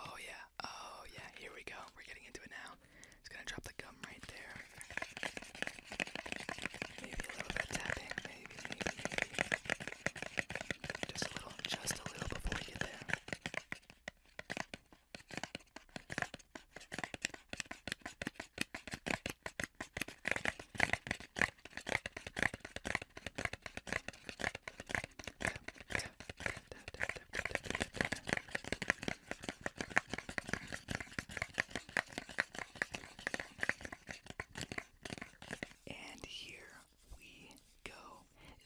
Oh yeah, oh yeah, here we go. We're getting into it now. Just gonna drop the gum right there. Maybe a little bit tapping, maybe, maybe, maybe. Just a little, just a little before there. And here we go.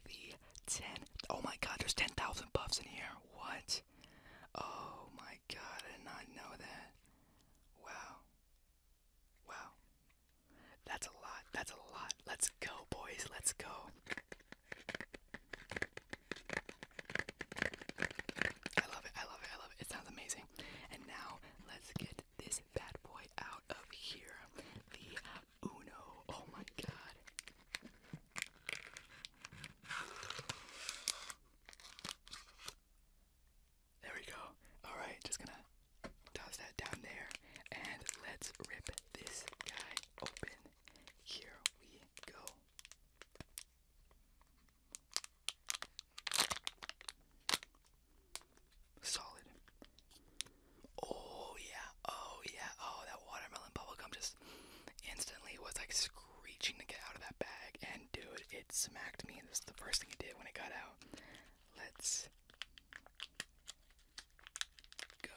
The 10. Oh my god, there's 10,000 buffs in here. What? Oh my god, did not know that. Wow. Wow. That's a lot. That's a lot. Let's go, boys. Let's go. I love it. I love it. I love it. It sounds amazing. And now let's get this bad boy out of here. The Uno. Oh my god. There we go. Alright, just gonna toss that down there. And let's rip this guy open. Here we go. Solid. Oh yeah, oh yeah, oh that watermelon bubblegum just instantly was like screeching to get out of that bag and dude it smacked me this is the first thing it did when it got out. Let's go.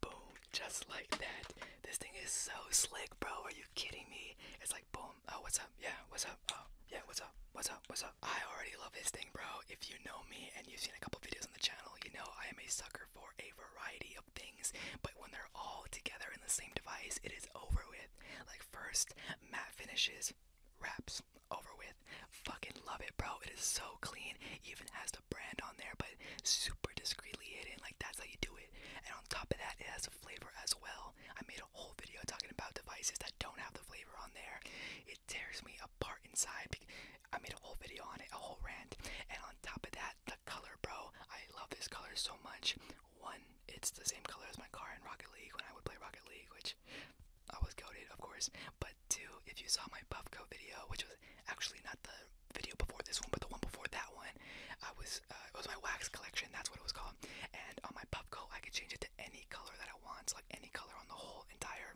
Boom, just like that. This thing is so slick, bro. Are you kidding me? It's like boom. Oh, what's up? Yeah, what's up? Oh, yeah, what's up? What's up? What's up? I already love this thing, bro. If you know me and you've seen a couple videos on the channel, you know I am a sucker for a variety of things, but when they're all together in the same device, it is over with. Like first matte finishes wraps over with fucking love it bro it is so clean even has the brand on there but super discreetly hidden like that's how you do it and on top of that it has a flavor as well i made a whole video talking about devices that don't have the flavor on there it tears me apart inside i made a whole video on it a whole rant and on top of that the color bro i love this color so much one, it's the same color as my car in Rocket League when I would play Rocket League, which I was goaded, of course. But two, if you saw my coat video, which was actually not the video before this one, but the one before that one, I was uh, it was my wax collection. That's what it was called. And on my coat, I could change it to any color that I want, so like any color on the whole entire,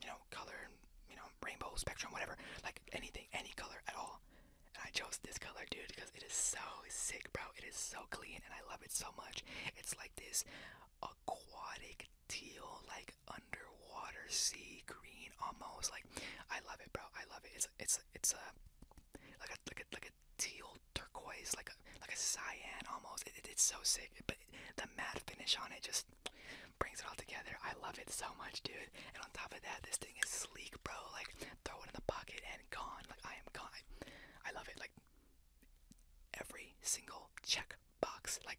you know, color, you know, rainbow spectrum, whatever, like anything, any color at all. And I chose this color, dude, because it is so sick, bro. It is so clean, and I love it so much. It's like this aquatic teal, like underwater sea green, almost. Like I love it, bro. I love it. It's it's it's a like a like a like a teal turquoise, like a like a cyan almost. it's so sick, but the matte finish on it just brings it all together. I love it so much, dude. And on top of that, this thing is sleek, bro. Like throw it in the pocket and gone. Like I am gone. I, love it. Like every single check box. Like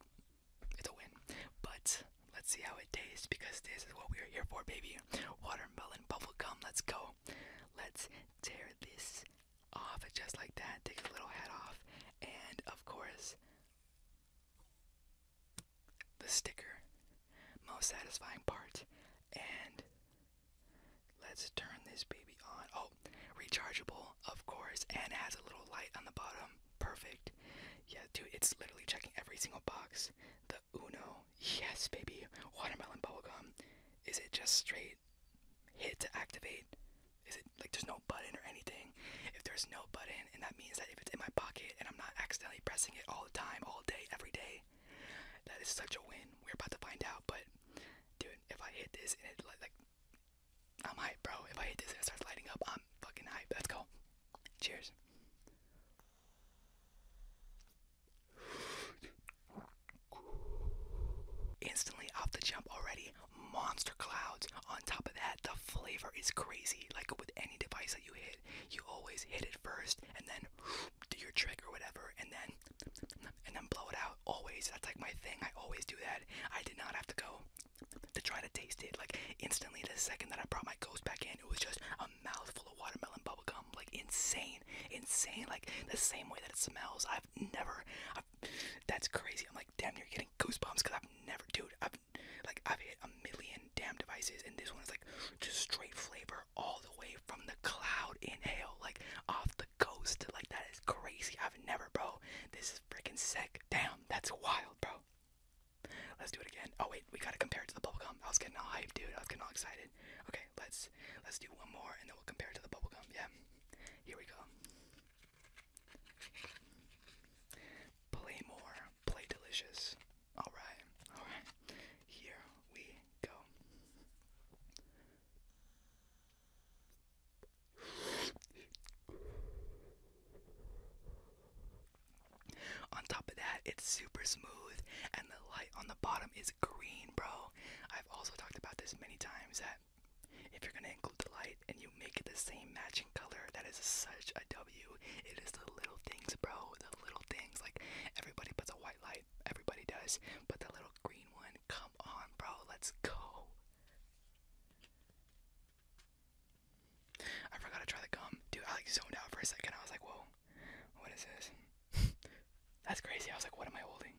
it's a win. But let's see how it tastes because this is what we are here for, baby. Watermelon bubble gum. Let's go. Let's tear this off just like that. Take a little head off. And of course, the sticker most satisfying part. And let's turn this baby on. Oh, rechargeable, of course, and has a little light on the bottom. Perfect. Yeah, dude, it's literally checking every single box. The Uno, yes, baby. Watermelon bubble gum. Is it just straight hit to activate? Is it like there's no button or anything? If there's no button, and that means that if it's in my pocket and I'm not accidentally pressing it all the time, all day, every day, that is such a win. We're about to find out, but dude, if I hit this and it like, I'm hype, bro. If I hit this and it starts lighting up, I'm fucking hype. Let's go. Cheers. Instantly off the jump already, monster clouds. On top of that, the flavor is crazy. Like with any device that you hit, you always hit it first and then do your trick or whatever, and then and then blow it out. Always, that's like my thing. I always do that. I did not have to go to try to taste it. Like instantly, the second that I brought my ghost back in, it was just a mouthful of watermelon bubblegum. Like insane, insane. Like the same way that it smells. I've never. I've, that's crazy. I'm like, damn, you're getting goosebumps because I've never, dude. I've like I've hit a million damn devices, and this one is like just straight flavor all the way from the cloud inhale, like off the coast. Like that is crazy. I've never, bro. This is freaking sick. Damn, that's wild, bro. Let's do it again. Oh wait, we gotta compare it to the bubble gum. I was getting all hyped, dude. I was getting all excited. Okay, let's let's do one more and then we'll compare it to the bubble gum. Yeah. Here we go. Play more play delicious. Alright, alright, here we go. On top of that, it's super smooth, and the light on the bottom is green, bro. I've also talked about this many times that if you're gonna include the light and you make it the same matching color, that is such a BMW. It is the little things, bro. The little things. Like everybody puts a white light. Everybody does. But the little green one, come on, bro. Let's go. I forgot to try the gum. Dude, I like zoned out for a second. I was like, whoa, what is this? That's crazy. I was like, what am I holding?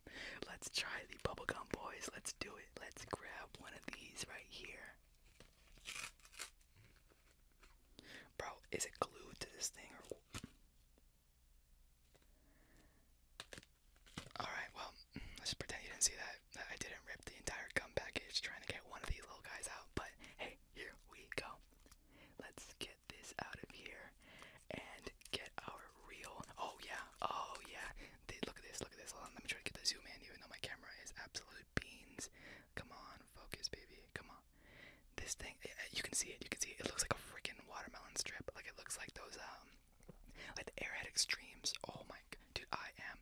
Let's try the bubble gum, boys. Let's do it. Let's grab one of these right here. Bro, is it glued to this thing or Alright, well, let's pretend you didn't see that. I didn't rip the entire gum package trying to get one of these little guys out, but hey, here we go. Let's get this out of here and get our real. Oh, yeah, oh, yeah. Look at this, look at this. Hold on, let me try to get the zoom in, even though my camera is absolute beans. Come on, focus, baby. Come on. This thing, eh, eh, you can see it. You can see it. It looks like a freaking watermelon strip. Like it looks like those um, like the Airhead Extremes. Oh my, god, dude, I am.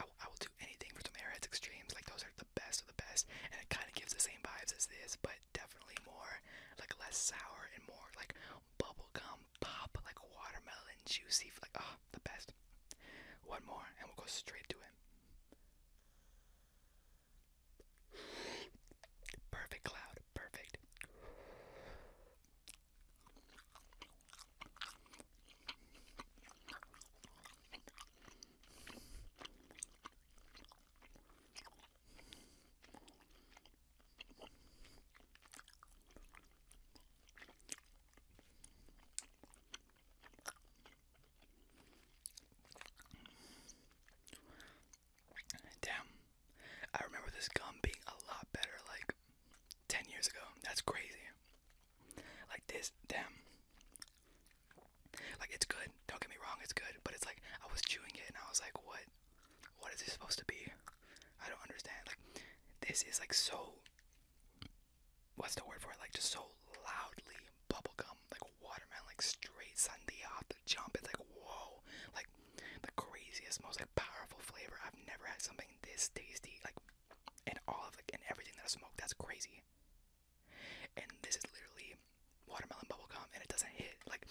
I, I will do anything for some Airheads Extremes. Like those are the best of the best, and it kind of gives the same vibes as this, but definitely more like less sour and more like bubble gum pop, like watermelon juicy. Like oh, the best. One more, and we'll go straight to it. Perfect cloud, perfect. Damn. I remember this gum being a lot better like 10 years ago. That's crazy. Like this, damn. Like it's good. Don't get me wrong, it's good, but it's like I was chewing it and I was like, "What? What is this supposed to be?" I don't understand. Like this is like so what's the word for it? Like just so loudly bubble gum, like watermelon, like straight sundae off the jump. It's like whoa, like the craziest, most like powerful flavor. I've never had something this tasty, like in all of like in everything that I smoked. That's crazy. And this is literally watermelon bubble gum, and it doesn't hit. Like,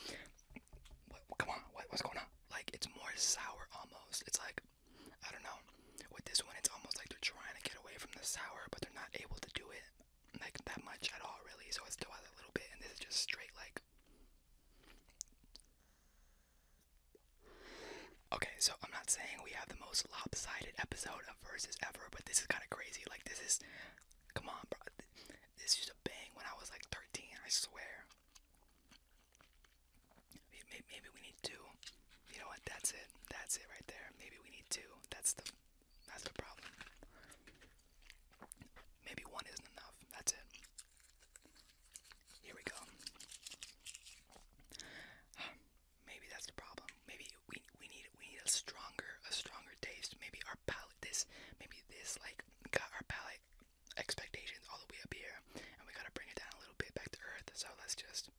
what, come on, what, what's going on? Like it's more sour almost. It's like I don't know. With this one, it's almost like they're trying to get away from the sour, but they're not able to do it like that much at all, really. So it still has a little bit, and this is just straight like. Okay, so I'm not saying we have the most lopsided episode of Versus ever, but this is kind of crazy. Like, this is. Come on, bro. This used a bang when I was like 13, I swear. Maybe, we need two. You know what? That's it. That's it right there. Maybe we need two. That's the that's the problem. Maybe one isn't enough. That's it. Here we go. Maybe that's the problem. Maybe we we need we need a stronger a stronger taste. Maybe our palate this maybe this like got our palate expectations all the way up here, and we gotta bring it down a little bit back to earth. So let's just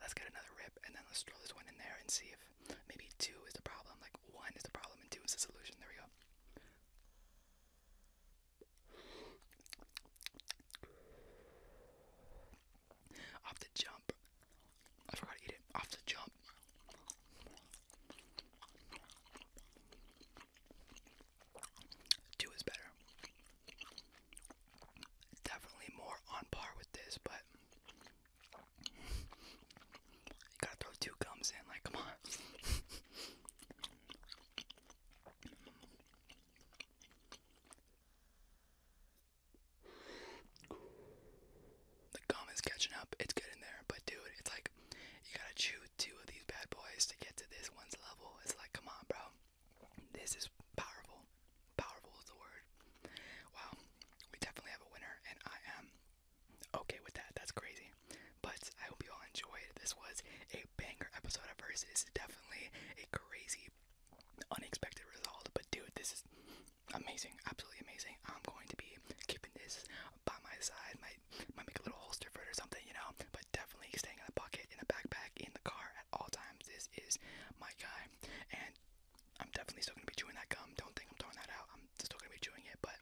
Let's get another rip and then let's throw this one in there and see if maybe two is the problem. Like one is the problem and two is the solution. There we go. Off the jump. I forgot to eat it. Off the jump. Two is better definitely more on par with this, but you gotta throw two gums in, like, come on. The gum is catching up, it's good in there, but dude, it's like you gotta chew two of these bad boys to get to this one's level. It's like, come on, bro. This is powerful. Powerful is the word. Wow, we definitely have a winner, and I am okay with that. That's crazy. But I hope you all enjoyed. This was a banger episode of first. It's definitely a crazy, unexpected result. But dude, this is amazing. Absolutely amazing. I'm going to be keeping this by my side. Might might make a little holster for it or something, you know. But definitely staying in a pocket, in a backpack, in the car at all times. This is my guy, and I'm definitely still gonna be chewing that gum. Don't think I'm throwing that out. I'm still gonna be chewing it, but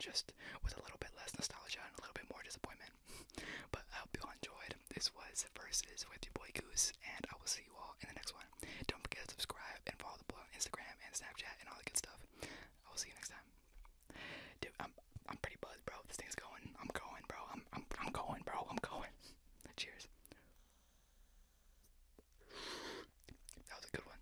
just with a little bit less nostalgia and a little bit more disappointment. but I hope you all enjoyed. This was Versus with your boy Goose, and I will see you all in the next one. Don't forget to subscribe and follow the boy on Instagram and Snapchat and all the good stuff. I will see you next time. Dude, I'm I'm pretty buzzed, bro. This thing's going. I'm going, bro. I'm I'm I'm going, bro. I'm going. Cheers. That was a good one.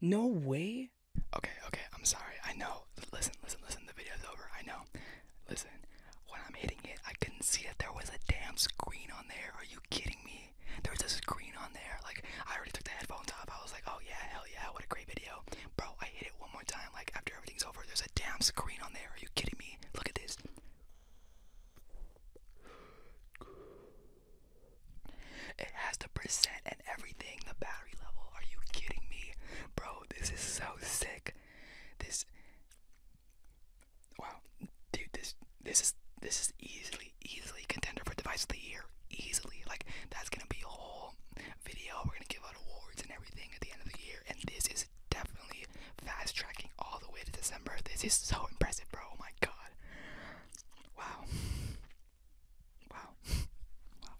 No way. Okay, okay. I'm sorry. I know. Listen, listen, listen. The video's over. I know. Listen, when I'm hitting it, I couldn't see that there was a damn screen on there. Are you kidding me? There was a screen on there. Like, I already took the headphones off. I was like, oh yeah, hell yeah, what a great video. Bro, I hit it one more time. Like, after everything's over, there's a damn screen on there. Are you kidding me? Look at this. It has the percent and everything, the battery level. Are you kidding me? Bro, this is so sick. This Wow, dude, this this is this is easily easily contender for device of the year. Easily, like that's gonna be a whole video. We're gonna give out awards and everything at the end of the year, and this is definitely fast tracking all the way to December. This is so impressive, bro. Oh my god. Wow. Wow. Wow.